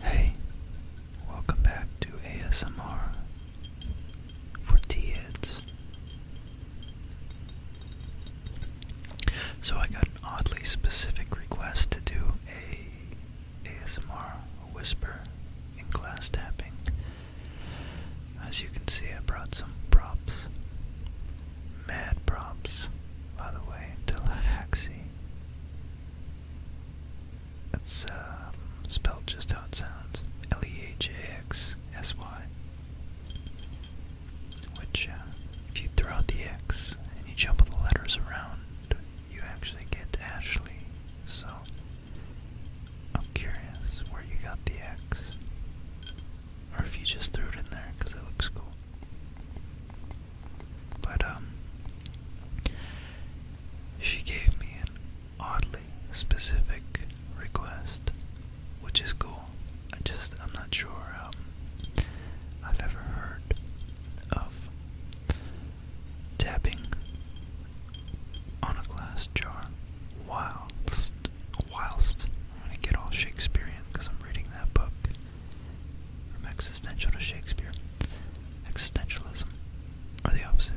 Hey, welcome back to ASMR for T So I got an oddly specific request to do a ASMR whisper in glass tapping. As you can see, I brought some props. Mad props, by the way, Tallahaxie. It's uh, um, spelled just how it sounds L E H A X S Y which uh, if you throw out the X and you jumble the letters around, you actually get Ashley. So I'm curious where you got the X, or if you just threw it in there because it looks cool. But um, she gave me an oddly specific request, which is cool. I just I'm not sure. Um, I've ever heard of tapping on a glass jar whilst whilst I'm gonna get all Shakespearean because I'm reading that book from existential to Shakespeare. Existentialism or the opposite.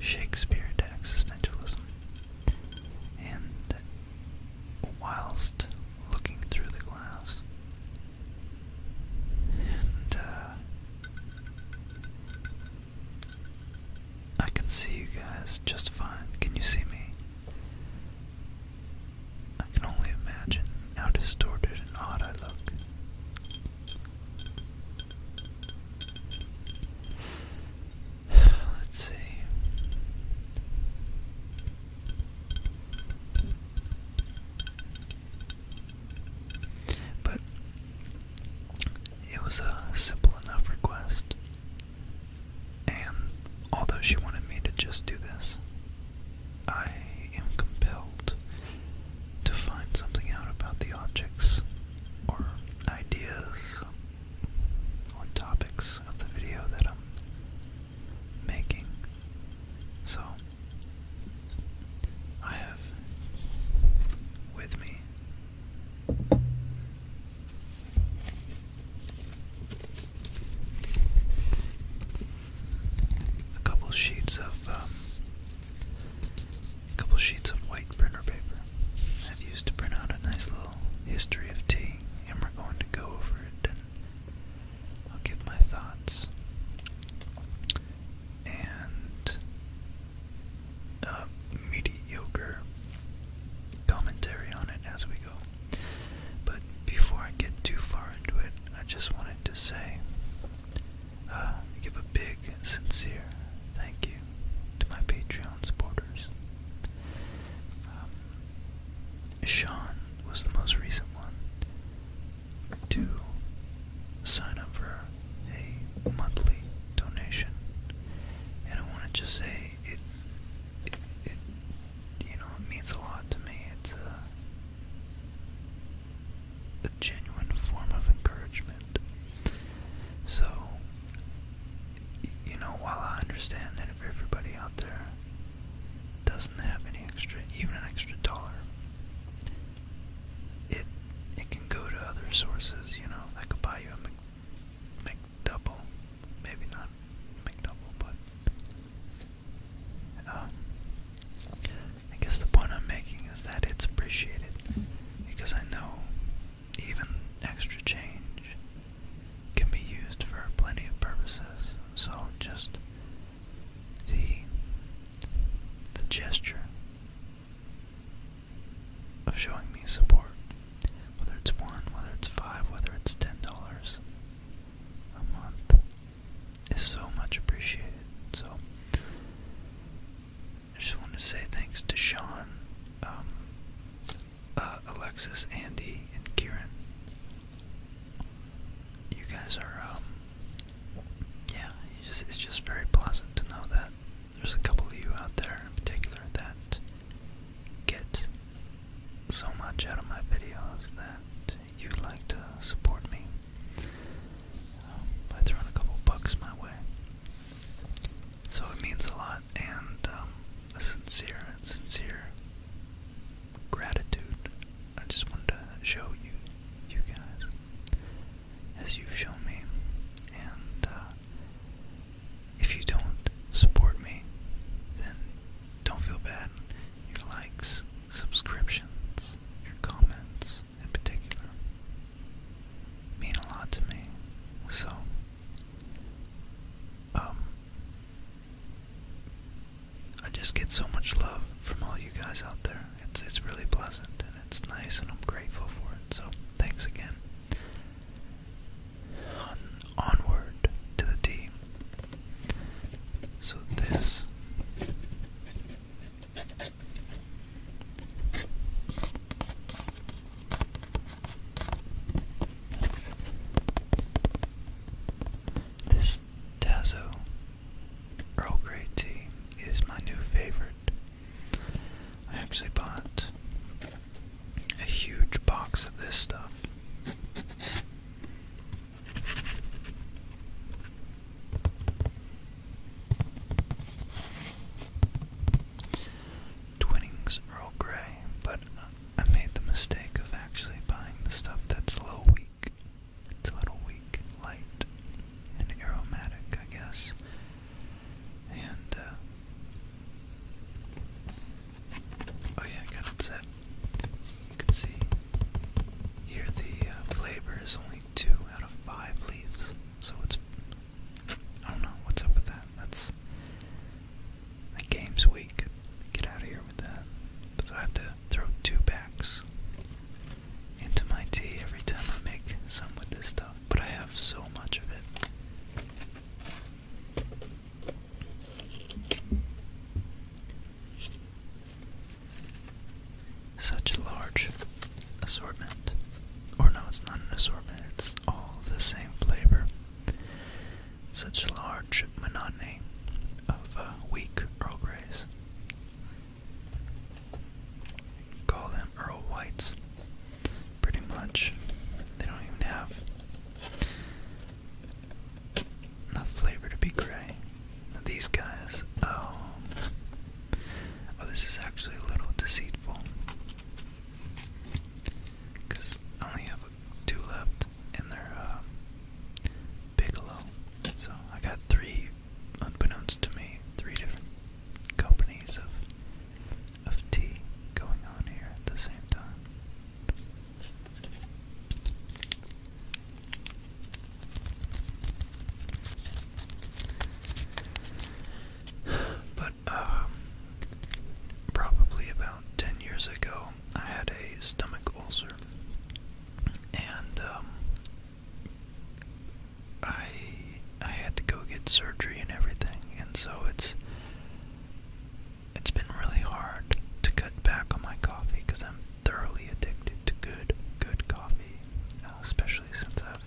Shakespeare to existentialism. And whilst looking through the glass. And uh, I can see you guys just fine. Can you see me? I can only imagine how distorted and odd I look. Let's see. But it was a simple enough request. And although she wanted me to just do this, I am compelled to find something out about the objects or ideas or topics of the video that I'm making. So, I have with me a couple sheets of um, a couple sheets of white printer paper I've used to print out a nice little history of tea, and we're going to go over it I'll give my thoughts. And uh, mediocre commentary on it as we go. But before I get too far into it, I just wanted to say, uh, give a big, sincere thank you to my Patreon supporters. Um, Sean was the most recent one to sign up for a monthly donation. And I want to just say it, it, it you know, it means a lot to me. It's a, a genuine form of encouragement. So, you know, while I understand that and everybody out there doesn't have any extra, even an extra dollar, it it can go to other sources. You know, I could buy you a Mc, McDouble, maybe not McDouble, but um, I guess the point I'm making is that it's appreciated because I know even extra change can be used for plenty of purposes. So just the the gesture of showing me support, whether it's one, whether it's five, whether it's ten dollars a month, is so much appreciated. So I just want to say thanks to Sean, um, uh, Alexis, Andy, and Kieran you guys are, um, yeah, just, it's just very pleasant to know that there's a couple of you out there in particular that get so much out of my videos that you'd like to support me um, by throwing a couple bucks my way. So it means a lot, and um, a sincere and sincere gratitude I just wanted to show you, you guys, as you've shown me, and uh, if you don't support me, then don't feel bad. Your likes, subscriptions, your comments in particular mean a lot to me. So, um, I just get so much love from all you guys out there. It's it's really pleasant and it's nice and I'm grateful for it. So thanks again. onward to the team. So this this Tazo Earl Grey tea is my new favorite. I actually bought a huge box of this stuff. Twinnings Earl Grey, but I made the mistake of actually buying the stuff that's a little weak. It's a little weak, light, and aromatic, I guess. And, uh, oh yeah, I got it set. You can see here the uh, flavor is only two out of five leaves, so it's, I don't know, what's up with that? That's, the game's weird. Get out of here with that. So I have to throw two backs into my tea every time I make some with this stuff. But I have so much of it. Such a large assortment. Or no, it's not an assortment, it's all the same flavor. Such a large monotony of weak Earl Call them Earl Whites. Pretty much. They don't even have enough flavor to be gray. these guys, oh. Oh, this is actually a little deceitful. Because I only have two left, and they're uh, Bigelow. So I got three, unbeknownst to me, three different companies of of tea going on here at the same time. But um, probably about ten years ago, I had a stomach ulcer, and um, I I had to go get surgery and everything, and so it's it's been really hard to cut back on my coffee because I'm thoroughly addicted to good good coffee, uh, especially since I've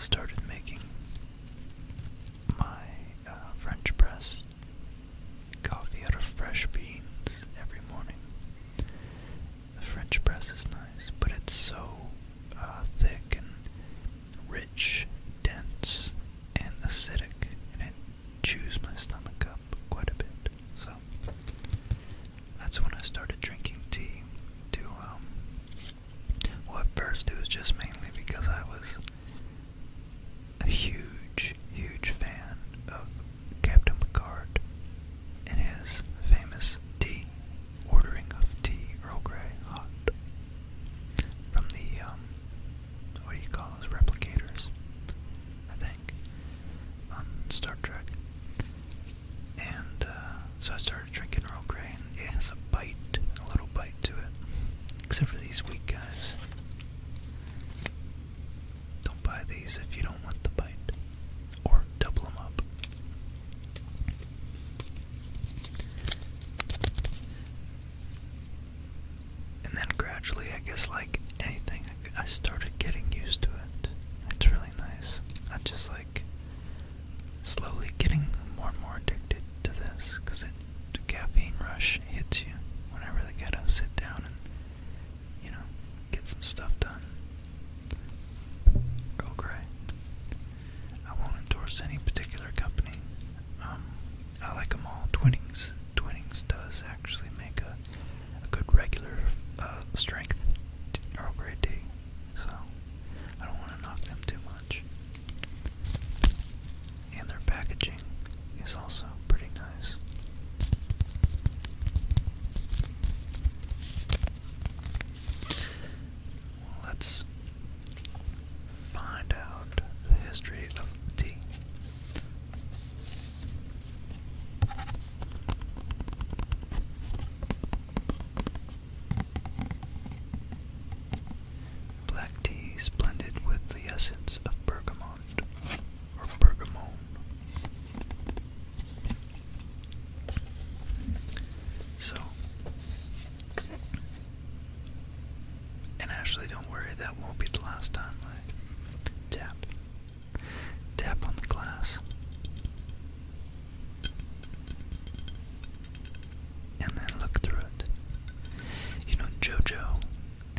started making my uh, French press coffee out of fresh beans every morning. The French press is nice, but it's so uh, thick and rich, dense, and acidic, and it chews my stomach up quite a bit. So that's when I started drinking tea. To um, well, at first it was just mainly because I was a huge, huge fan of Captain Picard and his famous tea, ordering of tea, Earl Grey hot from the um, what do you call those replicators? I think on Star Trek. And uh, so I started drinking Earl Grey, and it has a bite, a little bite to it, except for these weak guys. Don't buy these if you don't want the bite. Or double them up. And then gradually, I guess, like anything, I started getting used to it. It's really nice. I am just like slowly getting more and more addicted to this because the caffeine rush hits you when I really gotta sit down and you know, get some stuff done. Earl Grey. I won't endorse any particular company. Um, I like them all. Twinnings. Twinnings does actually make a, a good regular uh, strength Earl Grey tea, so I don't want to knock them too much and their packaging is also pretty nice. Let's find out the history of tea. Black tea blended with the essence of bergamot or bergamot. So, and actually, don't worry, that won't be the last time tap. Tap on the glass. And then look through it. You know, JoJo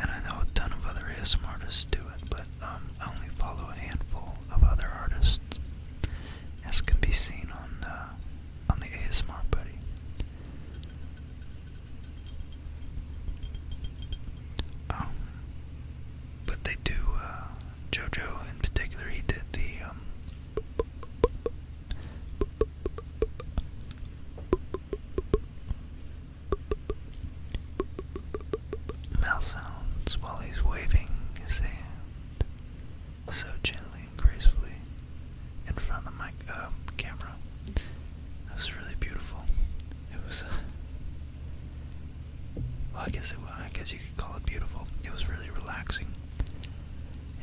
and I know a ton of other ASMR artists do it, but um, I only follow a handful of other artists, as can be seen on uh, on the ASMR Buddy. Um, but they do. Uh, Jojo, in particular, he did the. Um, Mouth sounds while he's waving his hand so gently and gracefully in front of the uh, camera. It was really beautiful. It was, uh, well, I guess I guess you could call it beautiful. It was really relaxing,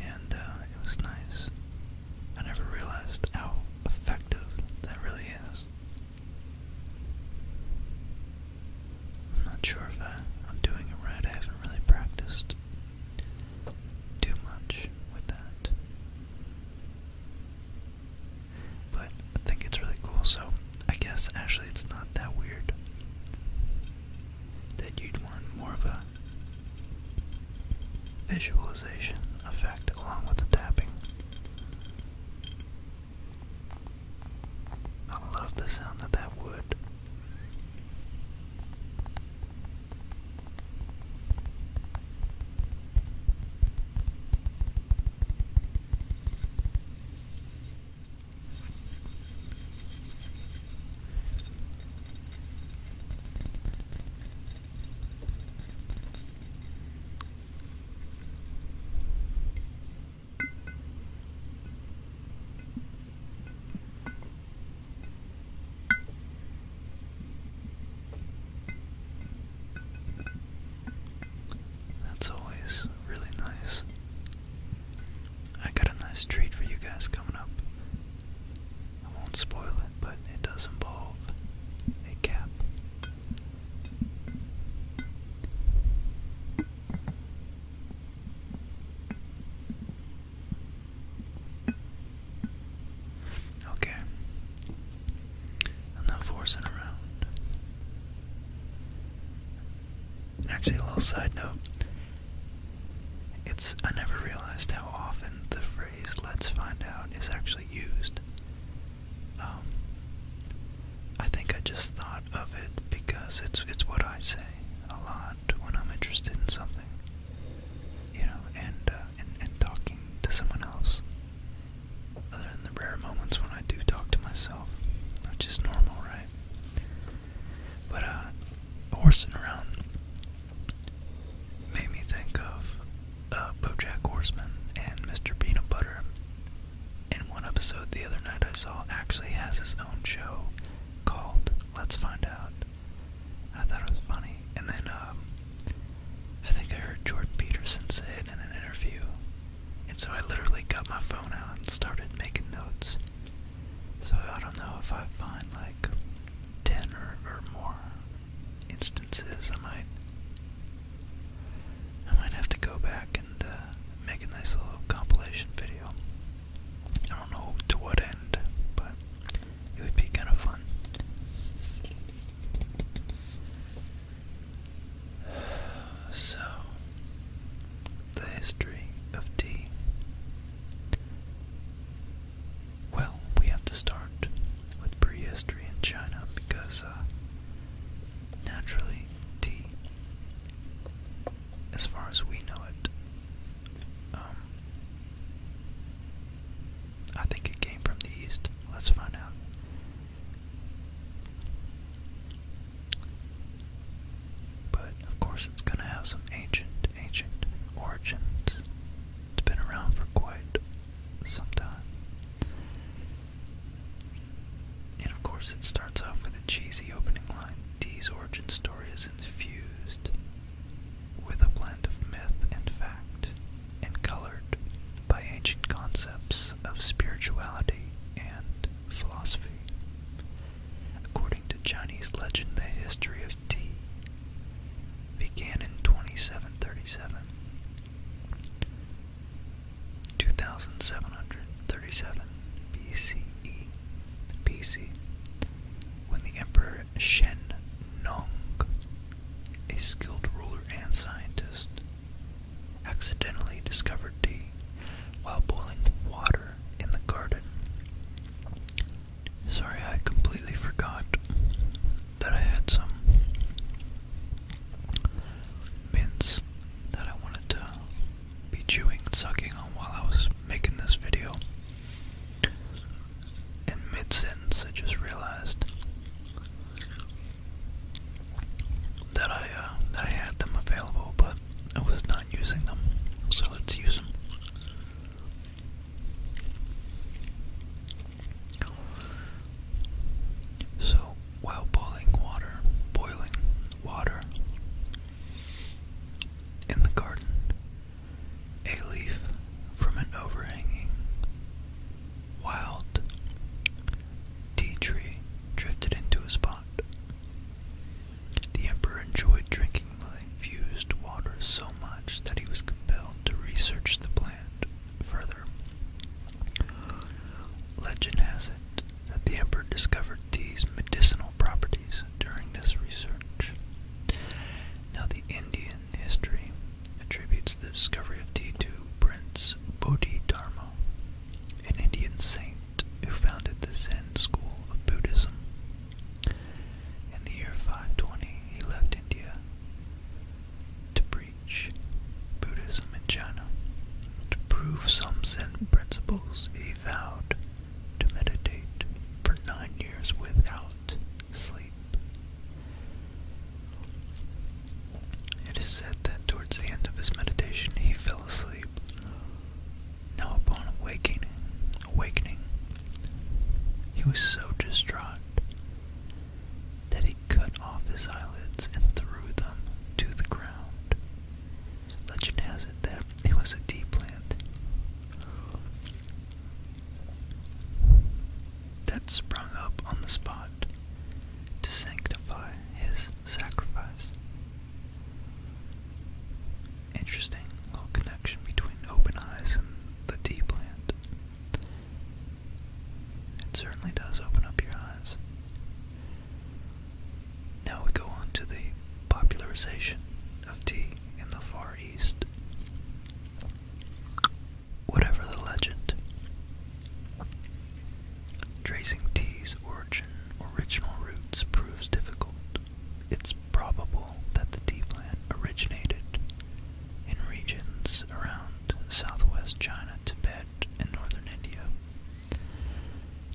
and uh, it was nice. I never realized how effective that really is. I'm not sure if I, I'm doing it right. I haven't really practiced too much with that. But I think it's really cool, so I guess actually it's not that weird that you'd want more of a visualization effect along with the tapping. I love the sound of that wood. That's always really nice. I got a nice treat for you guys coming up. I won't spoil it, but it does involve a cap. Okay. I'm not forcing around. Actually, a little side note. It's I never realized how often the phrase let's find out is actually used. Um, I think I just thought of it because it's it's what I say a lot when I'm interested in something, you know, and uh, and, and talking to someone else. Other than the rare moments when I do talk to myself, which is normal, right? But uh, horsing around made me think of uh, BoJack Horseman and Mr. Peanut Butter. In one episode the other night I saw actually has his own show called Let's Find Out. I thought it was funny. And then um, I think I heard Jordan Peterson say it in an interview. And so I literally got my phone out and started making notes. So I don't know if I find like 10 or, or more instances, I might, I might have to go back and uh, make a nice little compilation video. I don't know to what end, but it would be kind of fun. So, the history of tea. Well, we have to start with prehistory China because uh, Naturally, tea, as far as we know it, um, I think it came from the east. Let's find out. But of course, it's gonna have some ancient, ancient origins. It's been around for quite some time. And of course, it starts off with a cheesy opening line. Tea's origin story is infused with a blend of myth and fact, and colored by ancient concepts of spirituality and philosophy. According to Chinese legend, the history of tea began in 2737 2737 BCE BC, when the Emperor Shen Nong, a skilled ruler and scientist, accidentally discovered tea while boiling water in the garden. Sorry, I completely forgot that I had some mints that I wanted to be chewing and sucking on while I was making this video. In mid sentence, I just realized that I uh, that I had them available, but I was not using them. So let's use them. So, while boiling water, boiling water in the garden, a leaf from an overhanging wild tea tree drifted into a spot. The emperor enjoyed drinking the infused water so much that he was compelled to research the plant further. Legend has it that the emperor discovered these medicinal properties during this research. Now, the Indian history attributes the discovery of tea to Prince Bodhidharma, an Indian saint who founded the Zen school of Buddhism. In the year 520, he left India to pre preach Buddhism in China. To prove some Zen principles, he vowed to meditate for nine years without sleep. It is said that towards the end of his meditation he fell asleep. Now upon awakening awakening, he was so distraught that he cut off his eyelids and threw them to the ground. Legend has it that it was a tea plant that sprung up on the spot to sanctify his sacrifice. Interesting little connection between open eyes and the tea plant. It certainly does open up your eyes. Now we go on to the popularization of tea in the Far East. Whatever the legend, tracing tea's origin original roots proves difficult. It's probable that the tea plant originated in regions around southwest China, Tibet, and northern India.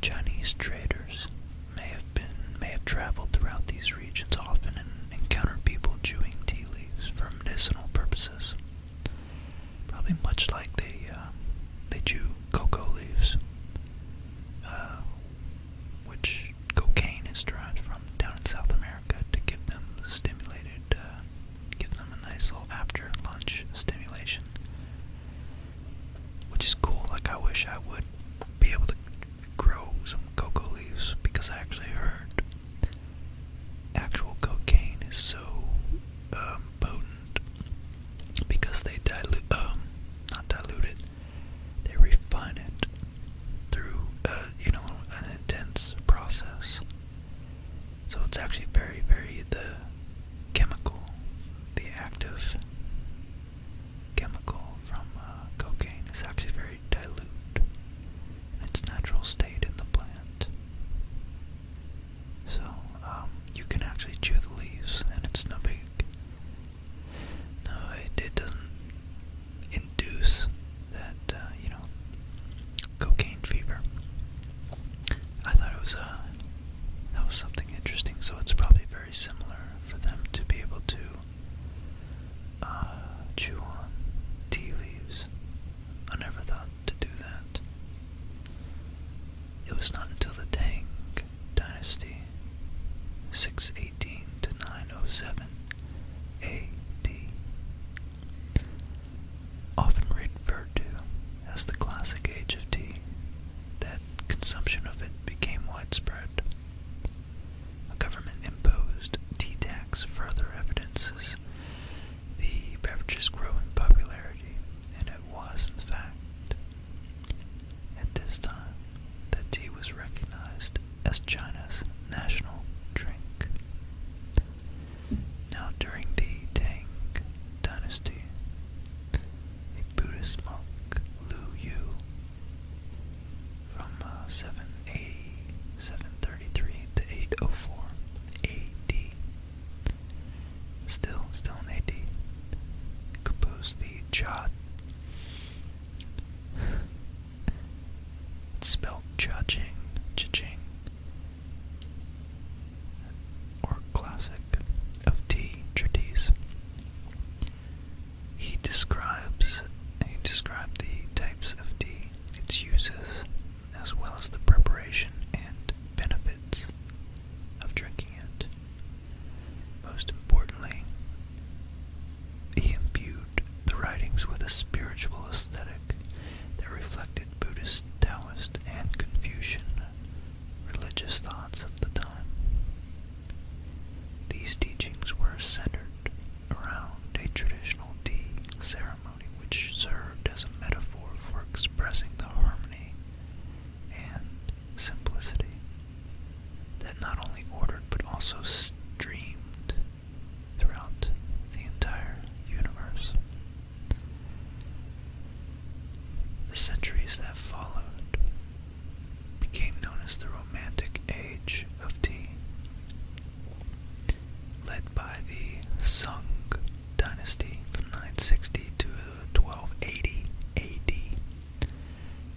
Chinese traders may have been may have traveled throughout these regions often and encountered people chewing tea leaves for medicinal purposes. Probably much like they uh, they chew cocoa leaves, uh, which cocaine is derived from down in South America to give them stimulated uh, give them a nice little after lunch stimulation. Which is cool. Like, I wish I would be able to grow some cocoa leaves because I actually heard actual cocaine is so um, potent because they dilute, um, not dilute it, they refine it through, a uh, you know, intense process. So it's actually very, very the chemical, the active chemical from uh, cocaine is actually very dilute in its natural state in the plant. So um, you can actually chew the leaves, and it's no big. No, it, doesn't induce that uh, you know cocaine fever. I thought it was a uh, that was something interesting. So it's probably very similar for them to be able to uh, chew on tea leaves. I never thought to do that. It was not until the Tang Dynasty, 618 to 907 A.D., often referred to as the classic age of tea, that consumption of it became widespread. A government imposed tea tax further evidences the beverage's growing popularity, and it was, in fact, at this time that tea was recognized as China's national drink. Now during the Tang dynasty, a Buddhist monk, Lu Yu, from uh, 780, 733 to 804 AD, still, still AD, composed the Jat. It's Cha-Ching, Cha-Ching, or classic of T. Trades. He describes he described the types of tea, its uses, as well as the preparation and benefits of drinking it. Most importantly, he imbued the writings with a spiritual aesthetic they reflected Buddhist, Taoist, and Confucian religious thoughts of the time. These teachings were centered around a traditional tea ceremony which served as a metaphor for expressing the harmony and simplicity that not only ordered but also streamed throughout the entire universe. The centuries that followed became known as the Romantic Age of Tea, led by the Sung dynasty from 960 to 1280 AD.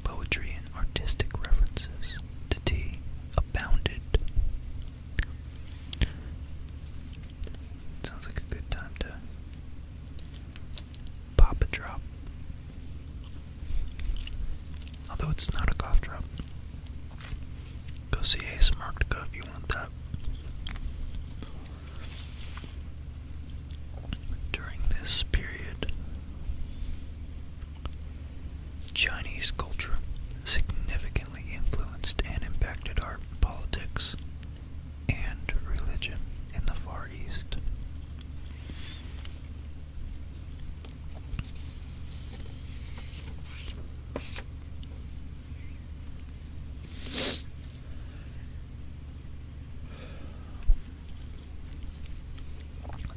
Poetry and artistic references to tea abounded. Sounds like a good time to pop a drop. Although it's not a cough drop. Go see ASMRtica if you want that. During this period, Chinese culture significantly influenced and impacted our politics, and religion in the Far East.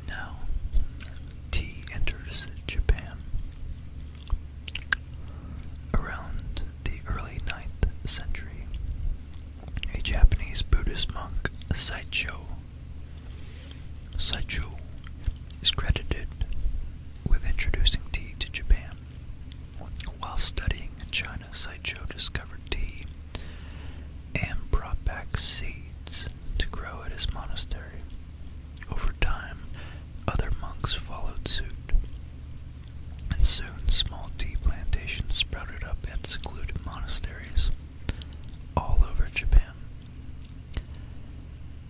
Now, tea enters Japan Around the early 9th century, a Japanese Buddhist monk, Saicho, Saicho is credited with introducing tea to Japan. While studying in China, Saicho discovered tea and brought back seeds to grow at his monastery. Over time, other monks followed suit, and soon small tea plantations sprouted up at secluded monasteries all over Japan.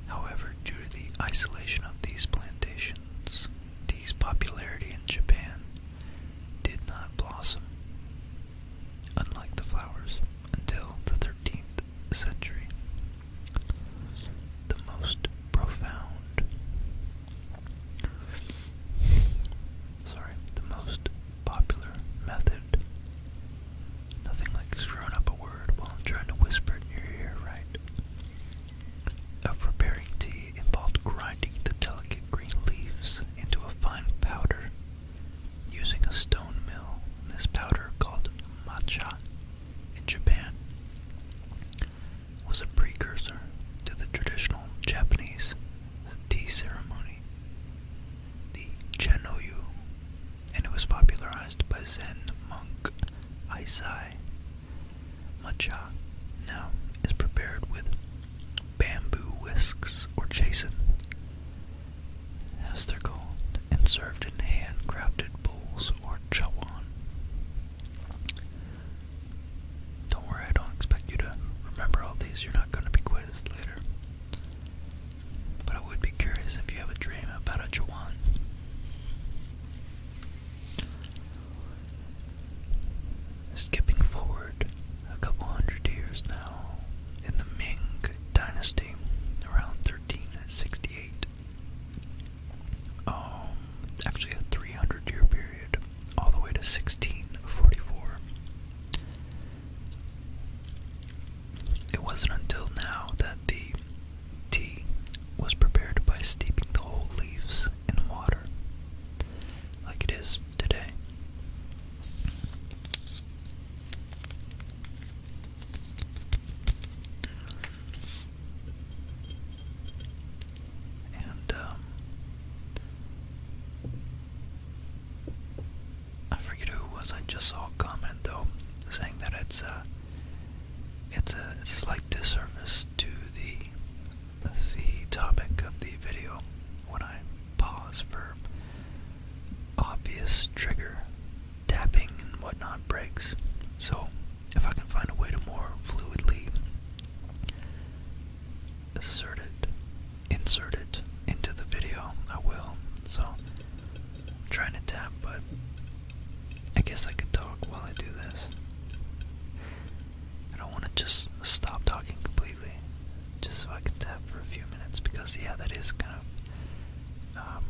However, due to the isolation of these plantations, tea's popularity in Japan did not blossom, unlike the flowers, until the 13th century. The most profound Sorry, the most popular method. Nothing like screwing up a word while I'm trying to whisper in your ear, right? Of preparing tea involved grinding the delicate green leaves into a fine powder using a stone mill. This powder, called matcha in Japan, was a precursor to the traditional Japanese tea ceremony, the chanoyu, and it was popularized by Zen monk Isai. Matcha now is prepared with bamboo whisks or chasen, as they're called, and served in handcrafted bowls or chawan. Don't worry, I don't expect you to remember all these. You're not going to be quizzed later. But I would be curious if you have a dream about a Jawan. Skipping forward a couple hundred years now, in the Ming Dynasty, around 1368, um, actually a 300 year period, all the way to 1644. It wasn't until now that the tea was prepared by steeping the whole leaves in water, like it is today. Um, I forget who was. I just saw a comment though saying that uh, it's a it's a slight disservice to the the topic of the video when I pause for obvious trigger tapping and whatnot breaks. So if I can find a way to more fluidly assert it, insert it into the video, I will. So, I'm trying to tap, but I guess I could talk while I do this. I don't want to just stop talking completely, just so I can tap for a few minutes, because yeah, that is kind of, um,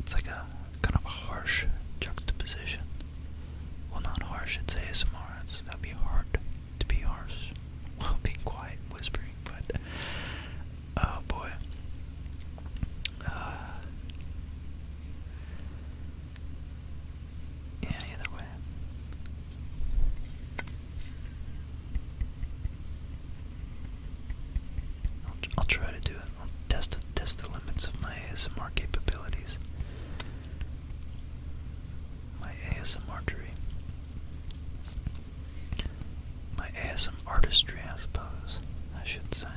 it's like a kind of a harsh juxtaposition. Well, not harsh, it's ASMR. It's, that be hard to be harsh while being quiet, whispering, but oh boy. Uh, yeah, either way. I'll, I'll try to do I'll test the limits of my ASMR capabilities. My ASMR tree. My ASM I suppose, I should say.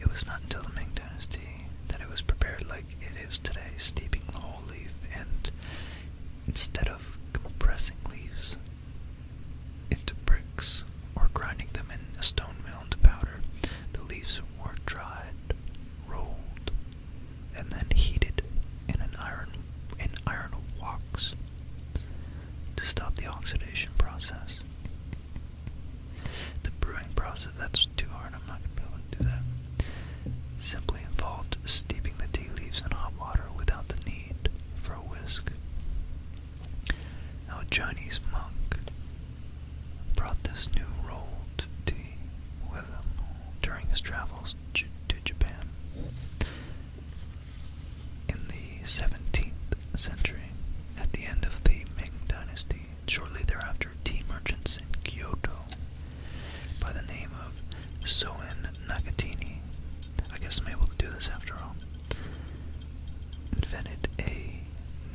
It was not until the Ming Dynasty that it was prepared like it is today, steeping the whole leaf and instead of compressing leaves, into bricks or grinding them in a stone mill into powder. The leaves were dried, rolled, and then heated in an iron in iron woks to stop the oxidation process. The brewing process that's too hard, I'm not gonna be able to do that. Simply involved steeping the tea leaves in hot water without the need for a whisk. How a Chinese monk brought this new rolled tea with him during his travels to Japan. In the 17th century, at the end of the Ming Dynasty, shortly thereafter, tea merchants in Kyoto by the name of Soen Nagatini. I guess I'm able to do this after all invented a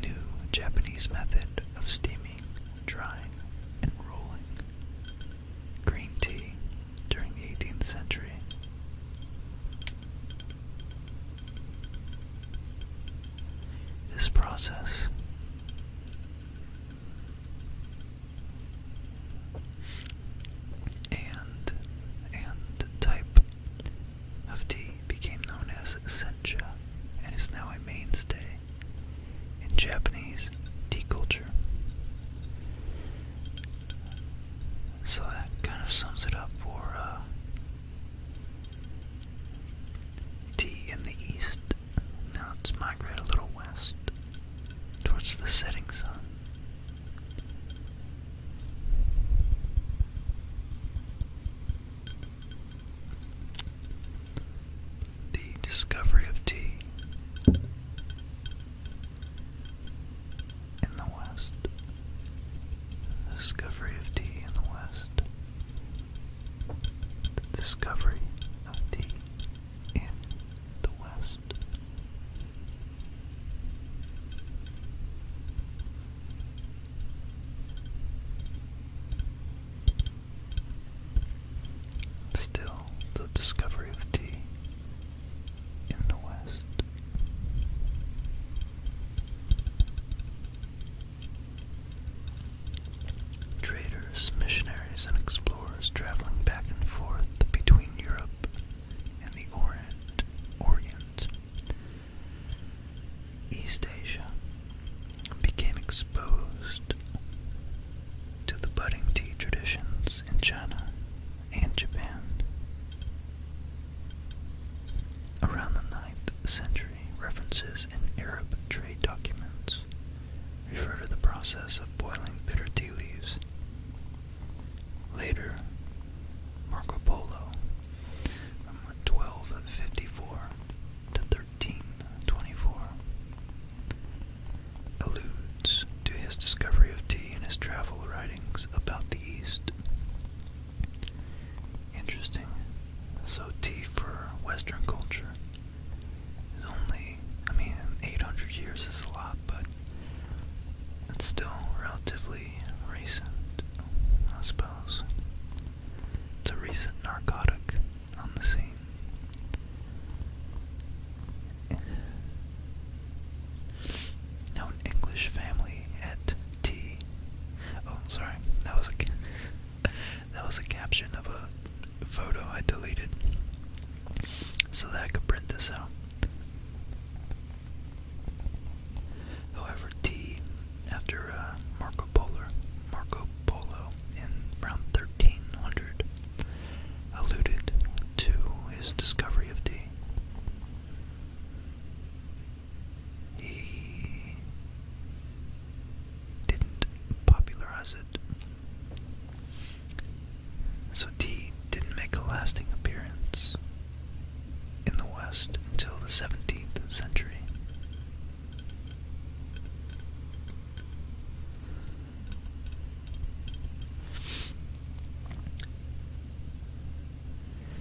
new Japanese method of steaming, drying, and rolling green tea during the 18th century. This process and and type of tea became known as sencha and is now a mainstay in Japanese tea culture. So that kind of sums it up for uh, tea in the east. Now let's migrate a little west towards the setting sun. The discovery of tea in the West. discovery of tea in the West. The discovery of tea in the West. Still, the discovery of tea in the West. Traders, missionaries, and explorers traveling back and forth between Europe and the Orient, Orient East Asia became exposed to the budding tea traditions in China and Japan. Around the 9th century, references in Arab trade documents refer to the process of boiling bitter tea leaves. Later, Marco Polo from 1254 to 1324. Alludes to his discovery of tea in his travel writings about the East. Interesting. So tea for Western culture is only, I mean, 800 years is a lot, but it's still relatively recent, I suppose. It's a recent narcotic on the scene. Now, English family at tea. Oh, sorry, that was a that was a caption of a photo I deleted, so that I could print this out. However, tea, after uh, Marco Polo, Marco Polo in around 1300, alluded to his discovery of tea. He didn't popularize it. So tea didn't make a lasting appearance in the West until the 17th century.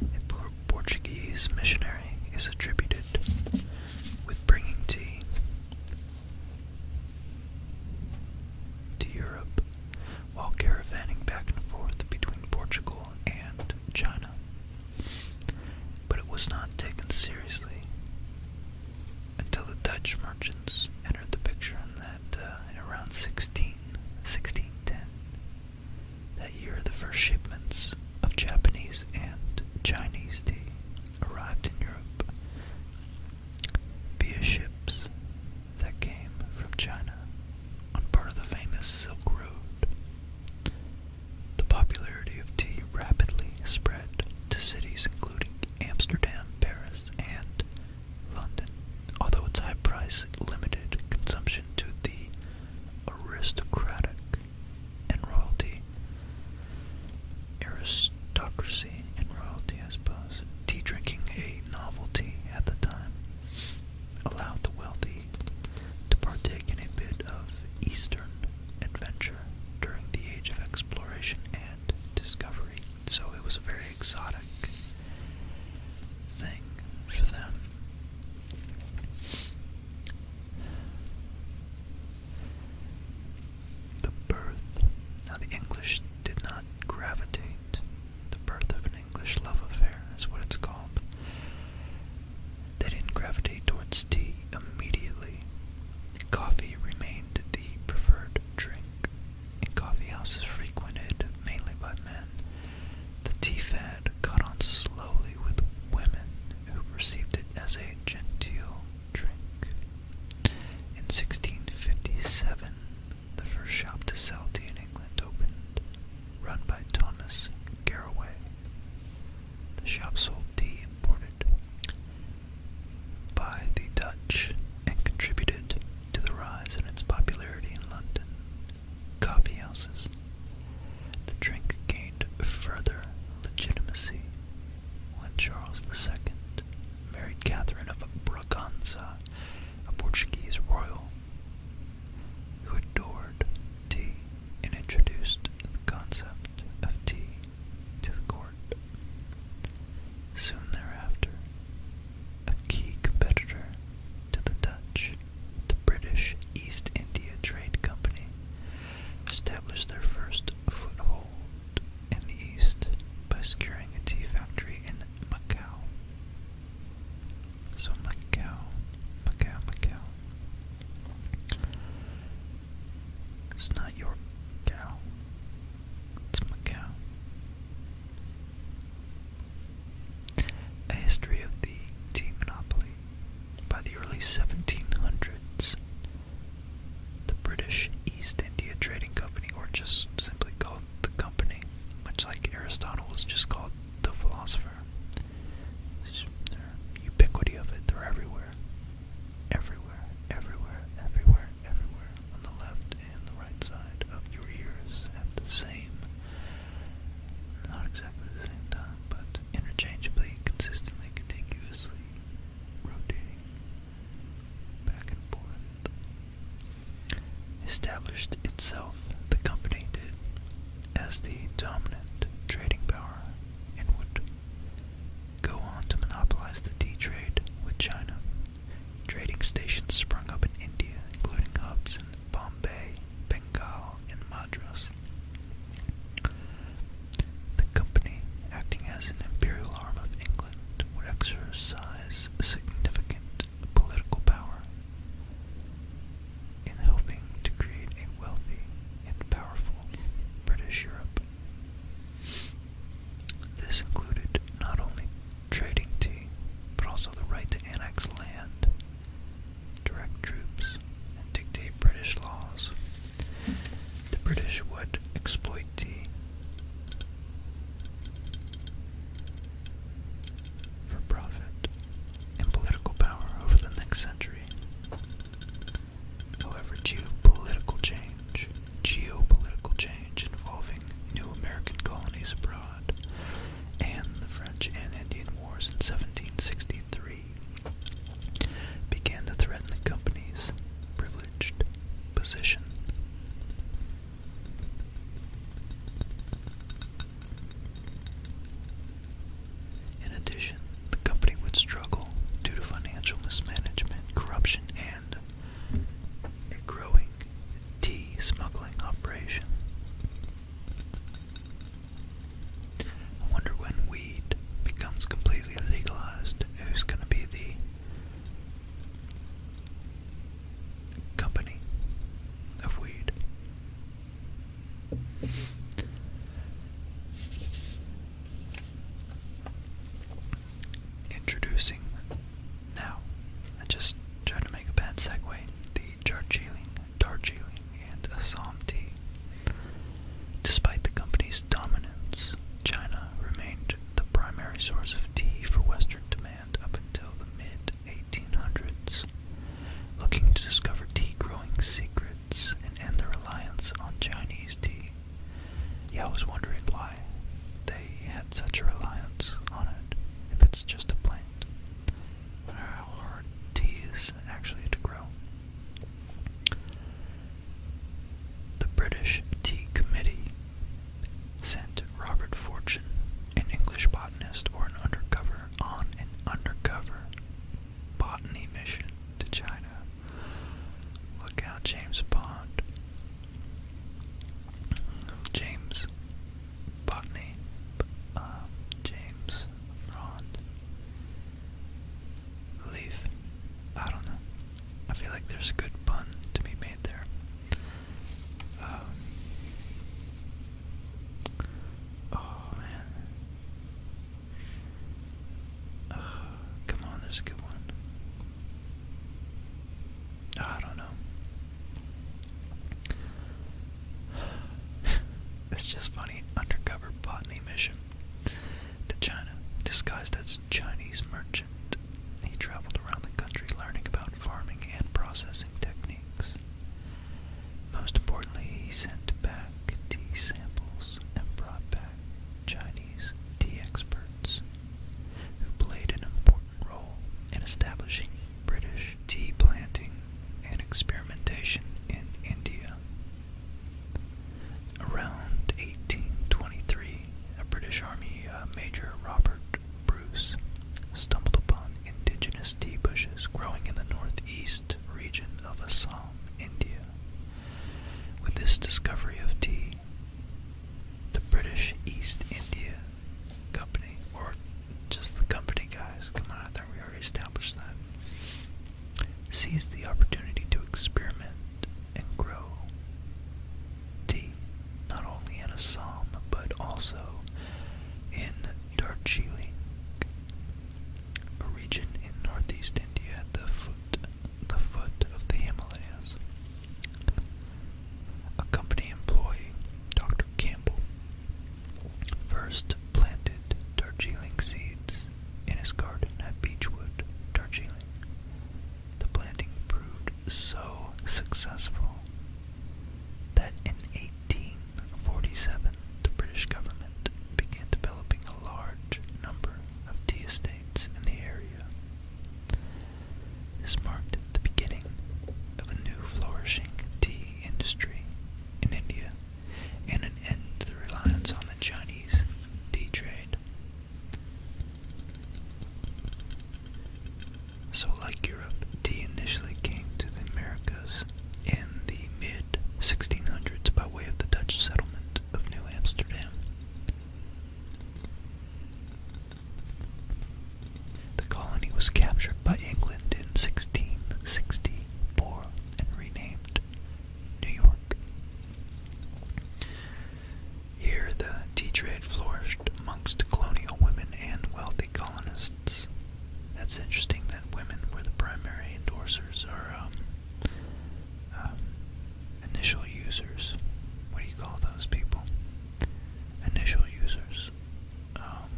A poor Portuguese missionary is attributed with bringing tea to Europe while caravanning back and forth between Portugal and China but it was not taken seriously until the Dutch merchants entered the picture in that uh, around 16, 1610. That year, the first shipments of Japanese and Chinese tea arrived in Europe via ships that came from China on part of the famous Silk Road. The popularity of tea rapidly spread to cities including Amsterdam, Paris, and London, although its high price limited consumption to the aristocratic and royalty. Aristocracy and royalty, I suppose. Tea drinking, a novelty at the time, allowed the wealthy to partake in a bit of Eastern adventure during the age of exploration and discovery. So it was a very exotic thing for them. The birth. Now, the English did not gravitate the birth of an English love affair, is what it's called. They didn't gravitate towards tea immediately. Coffee remained the preferred drink, in coffee frequented mainly by men. The tea fad caught on slowly with women who perceived it as a genteel drink. In 1657, the first shop to sell tea in England opened run by Thomas Garraway. The shop sold tea imported by the Dutch and contributed to the rise in its popularity in London. Coffeehouses, The drink gained further legitimacy when Charles II married Catherine of Braganza, a Portuguese royal, who adored tea and introduced the concept of tea to the court. Soon thereafter, a key competitor to the Dutch, the British East India Trade Company, established their first foothold in the East by securing a tea factory in Macau. So Macau, Macau, Macau. It's not your cow. It's Macau. A history of the tea monopoly. By the early 1700s, the British East India Trading Company, or just simply called the Company, much like Aristotle was just called the philosopher, whatever. Just, ubiquity of it, they're everywhere. Everywhere, everywhere, everywhere, everywhere. On the left and the right side of your ears at the same, not exactly the same time, but interchangeably, consistently, contiguously rotating back and forth. Established itself, the company did, as the dominant trading power and would go on to monopolize the tea trade with China. Trading stations sprung up in India, including hubs in Bombay, Bengal, and Madras. The company, acting as an imperial arm of England, would exercise significant political power in helping to create a wealthy and powerful British Europe. This included not only trading tea, but also the right to annex land, direct troops, and dictate British laws. The British would exploit tea for profit and political power over the next century. However, geopolitical change, geopolitical change involving new American colonies abroad, and the French and Indian Wars in 1763 began to threaten the company's privileged position. In addition, the company would struggle due to financial mismanagement, corruption, and a growing tea smuggling operation. I wonder when weed becomes completely legalized, who's going to be the company of weed? Introducing now, I just tried to make a bad segue, the Darjeeling, Darjeeling, and Assam tea. Despite the company's dominance, China remained the primary source of tea for Western demand up until the mid 1800s looking to discover tea growing secrets and end their reliance on Chinese tea. Yeah, I was wondering why they had such a reliance on it if it's just a plant. I how hard tea is actually to grow. The British Tea Committee sent Robert Fortune, an English botanist, or an undercover on an undercover botany mission to China. Look out, James Bond. James Botany. Um, James Rond. Leaf. I don't know. I feel like there's a good pun to be made there. Um, oh man. Uh, come on, there's a good one. Ah, I don't know. it's just funny. Undercover botany mission to China. Disguised as Chinese merchant, he traveled around the country learning about farming and processing techniques. Most importantly, he sent back tea samples and brought back Chinese tea experts who played an important role in establishing British tea planting and experimentation in India. Around 1823, a British Army uh, Major Robert Bruce stumbled upon indigenous tea bushes growing in the northeast region of Assam, India. With this discovery of tea, the British East India Company, or just the company guys, come on, out there. we already established that, seized the opportunity to experiment and grow tea, not only in Assam, but also in Darjeeling, a region in northeast India at the foot, the foot of the Himalayas. A company employee, Dr. Campbell, first planted Darjeeling seeds in his garden at Beechwood, Darjeeling. The planting proved so successful that in 18 1847, the British government began developing a large number of tea estates in the area. This marked the beginning of a new flourishing tea industry in India and an end to the reliance on the Chinese tea trade. So, like Europe, tea initially came to the Americas in the mid 1600s by way of the Dutch settlement of New Amsterdam. The colony was captured by England in 1664 and renamed New York. Here the tea trade flourished amongst colonial women and wealthy colonists that's interesting that women were the primary endorsers or um, um, initial users. What do you call those people? Initial users. Um,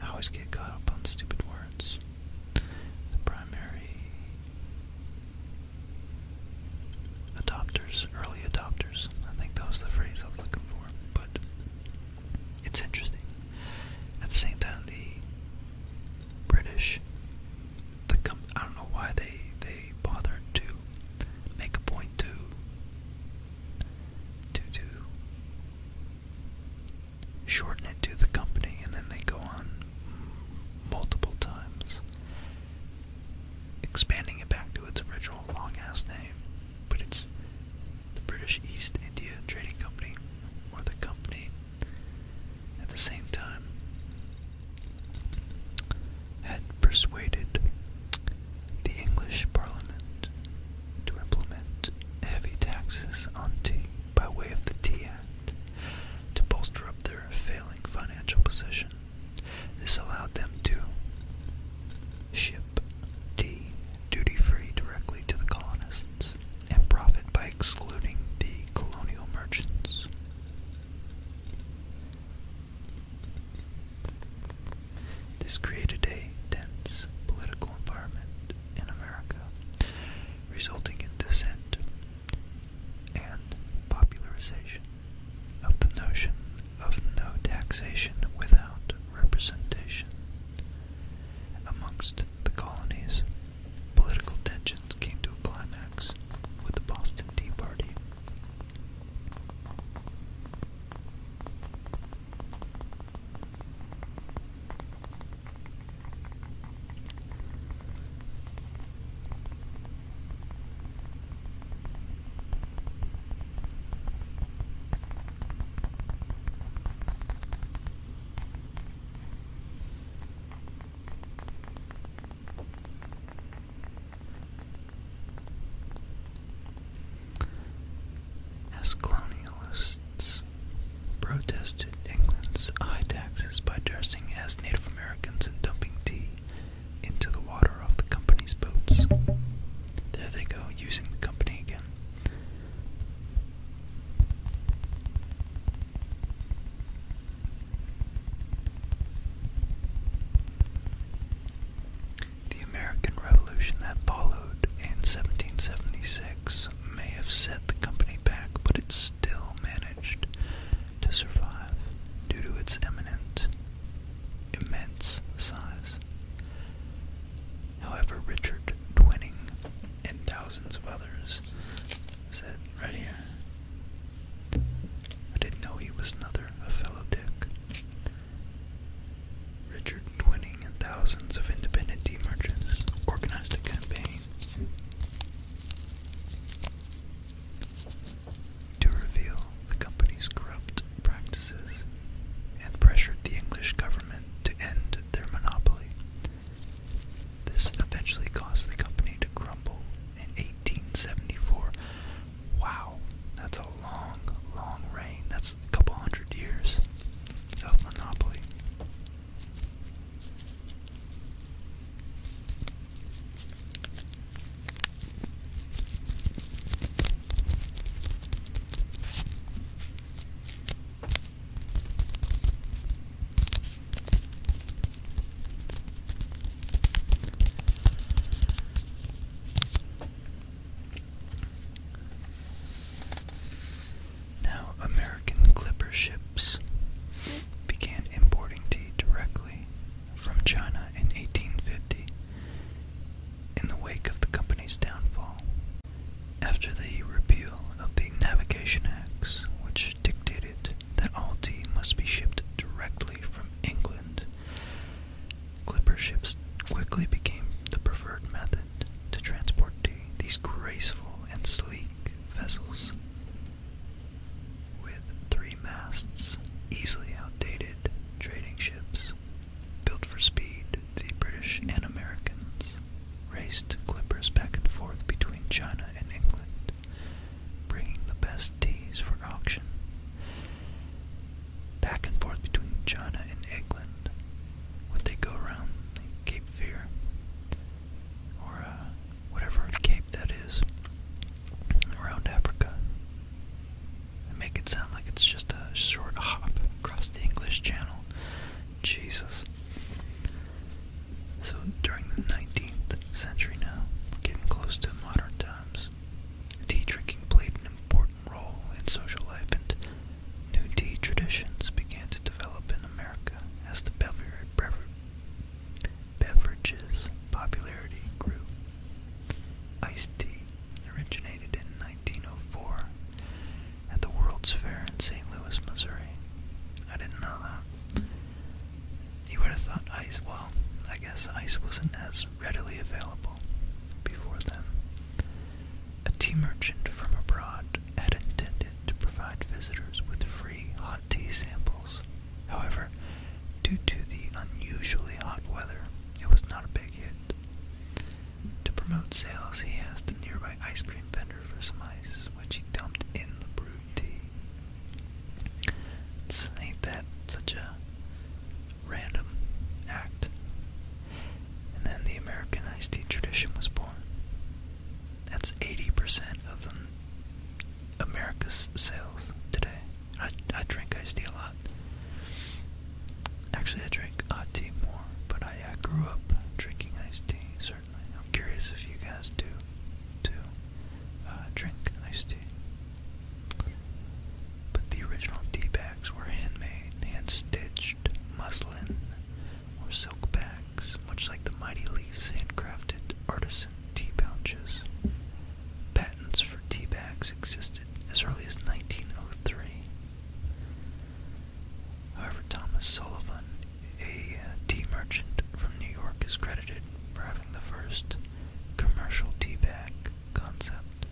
I always get caught up on stupid words. The primary adopters, early adopters. I think that was the phrase I was looking for. But it's interesting. At the same time, the British, the com I don't know why they they bothered to make a point to to to shorten it to the company, and then they go on multiple times, expanding it back to its original long ass name. But it's the British East India Trading Company, or the Company, at the same time, had persuaded the English Parliament to implement heavy taxes on tea by way of the Tea Act to bolster up their failing financial position. This allowed them to ship tea duty free directly to the colonists and profit by excluding the colonial merchants. This created a dense political environment in America, resulting in dissent and popularization of the notion of no taxation without representation. Amongst the colonies, political tensions came to a climax with the Boston Tea Party. As colonialists protested England's high taxes by dressing as Native Americans and dumping tea into the water off the company's boats. There they go, using the company again. The American Revolution that followed in 1776 may have set the company back, but it still managed to survive due to its eminent, immense size. However, Richard Twining and thousands of others said right here, I didn't know he was another a fellow Dick. Richard Twining and thousands of independent tea merchants organized a campaign to reveal the company's corrupt practices and pressured the English government to end their monopoly. This eventually caused the company to crumble in 1874. Wow, that's a long, long reign. That's a couple hundred years of monopoly. Now, American clipper ships began importing tea directly from China in 1850. In the wake of the company's downfall, after the repeal of the Navigation Acts, which dictated that all tea must be shipped directly from England, clipper ships quickly became the preferred method to transport tea. These graceful and sleek vessels with three masts, easily outdated trading ships Built for speed, the British and Americans raced clippers back and forth between China and England, bringing the best teas for auction. Back and forth between China and England, would they go around Cape Fear, or uh, whatever cape that is, around Africa? and make it sound like it's just a short hop across the English Channel. Jesus. So during the 19th century now, getting close to modern times. Tea drinking played an important role in social life, and new tea traditions began to develop in America as the beverage beverage's popularity grew. Iced tea originated in 1904 at the World's Fair in St. Louis, Missouri. I didn't know that. You would have thought ice, well, I guess ice wasn't as readily available before then. A tea merchant from abroad had intended to provide visitors with free hot tea samples. However, due to the unusually hot weather, it was not a big hit. To promote sales, he asked a nearby ice cream vendor for some ice, which he dumped in the brewed tea. ain't that such a random act? And then the American iced tea tradition was born. That's 80% of America's sales today. I, I drink iced tea a lot. Actually, I drink hot tea more, but I uh, grew up drinking iced tea, certainly. I'm curious if you guys do, too, uh, drink iced tea. But the original tea bags were handmade, hand-stitched muslin or silk bags, much like the Mighty Leaves handcrafted artisan tea pouches. Patents for tea bags existed as early as 1903. However, Thomas Sullivan, a uh, tea merchant from New York, is credited for having the first commercial tea bag concept.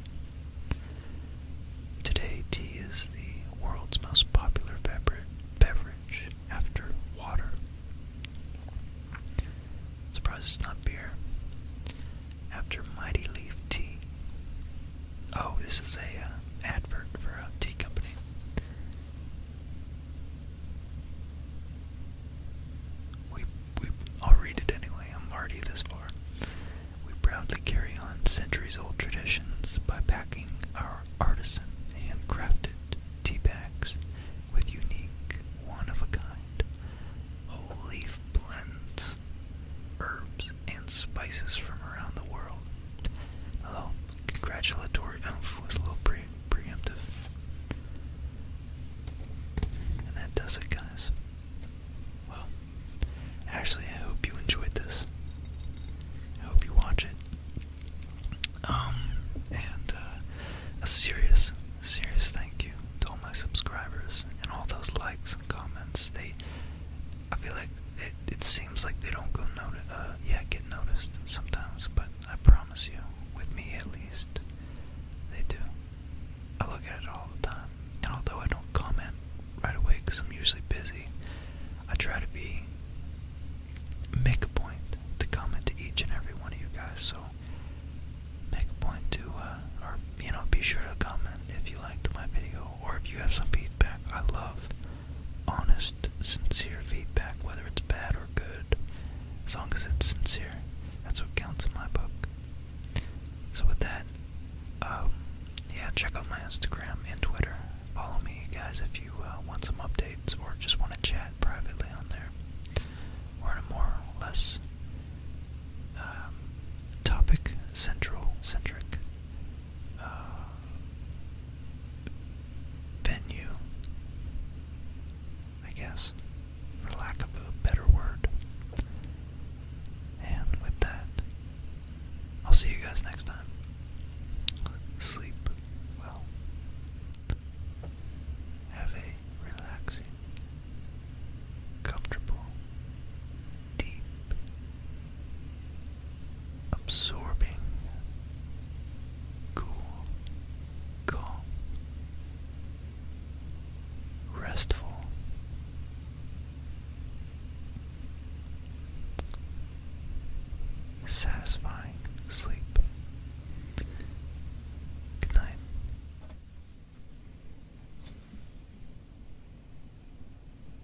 Today, tea is the world's most popular beverage after water. Surprise, it's not beer. After Mighty Leaf Tea, Oh, this is a uh, advert for a tea company. We, we, I'll read it anyway. I'm already this far. We proudly carry on centuries-old traditions by packing our artisan handcrafted tea bags with unique, one-of-a-kind whole leaf blends, herbs, and spices from around the world. Although, congratulatory oomph was a little preemptive. And that does it, guys. Well, actually, I hope you enjoyed this. I hope you watch it. Um, and uh, a serious, serious thank you to all my subscribers and all those likes and comments. They, I feel like it, it seems like they don't go noti uh, yeah, get noticed sometimes, but I promise you, with me at least, they do. I look at it all the time, and although I don't comment right away because I'm usually busy, I try to be make a point to comment to each and every one of you guys. So make a point to, uh, or you know, be sure to comment if you liked my video know, or if you have some feedback. I love honest, sincere feedback, whether it's bad or good. As long as it's sincere, that's what counts in my book. So, with that, um, yeah, check out my Instagram and Twitter. Follow me, guys, if you uh, want some updates or just want to chat privately on there. Or in a more or less um, topic central centric uh, venue, I guess, for lack of a better word. And with that, I'll see you guys next time. Sleep well. Have a relaxing, comfortable, deep absorbing, cool, calm, restful. Satisfying sleep. Good night.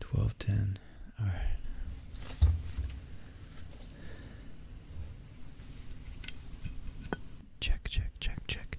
Twelve ten. All right. Check, check, check, check.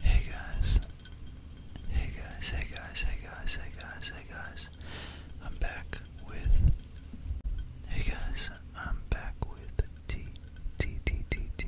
Hey guys. Hey guys, hey guys, hey guys, hey guys, hey guys. I'm back with Hey guys, I'm back with T T T T T.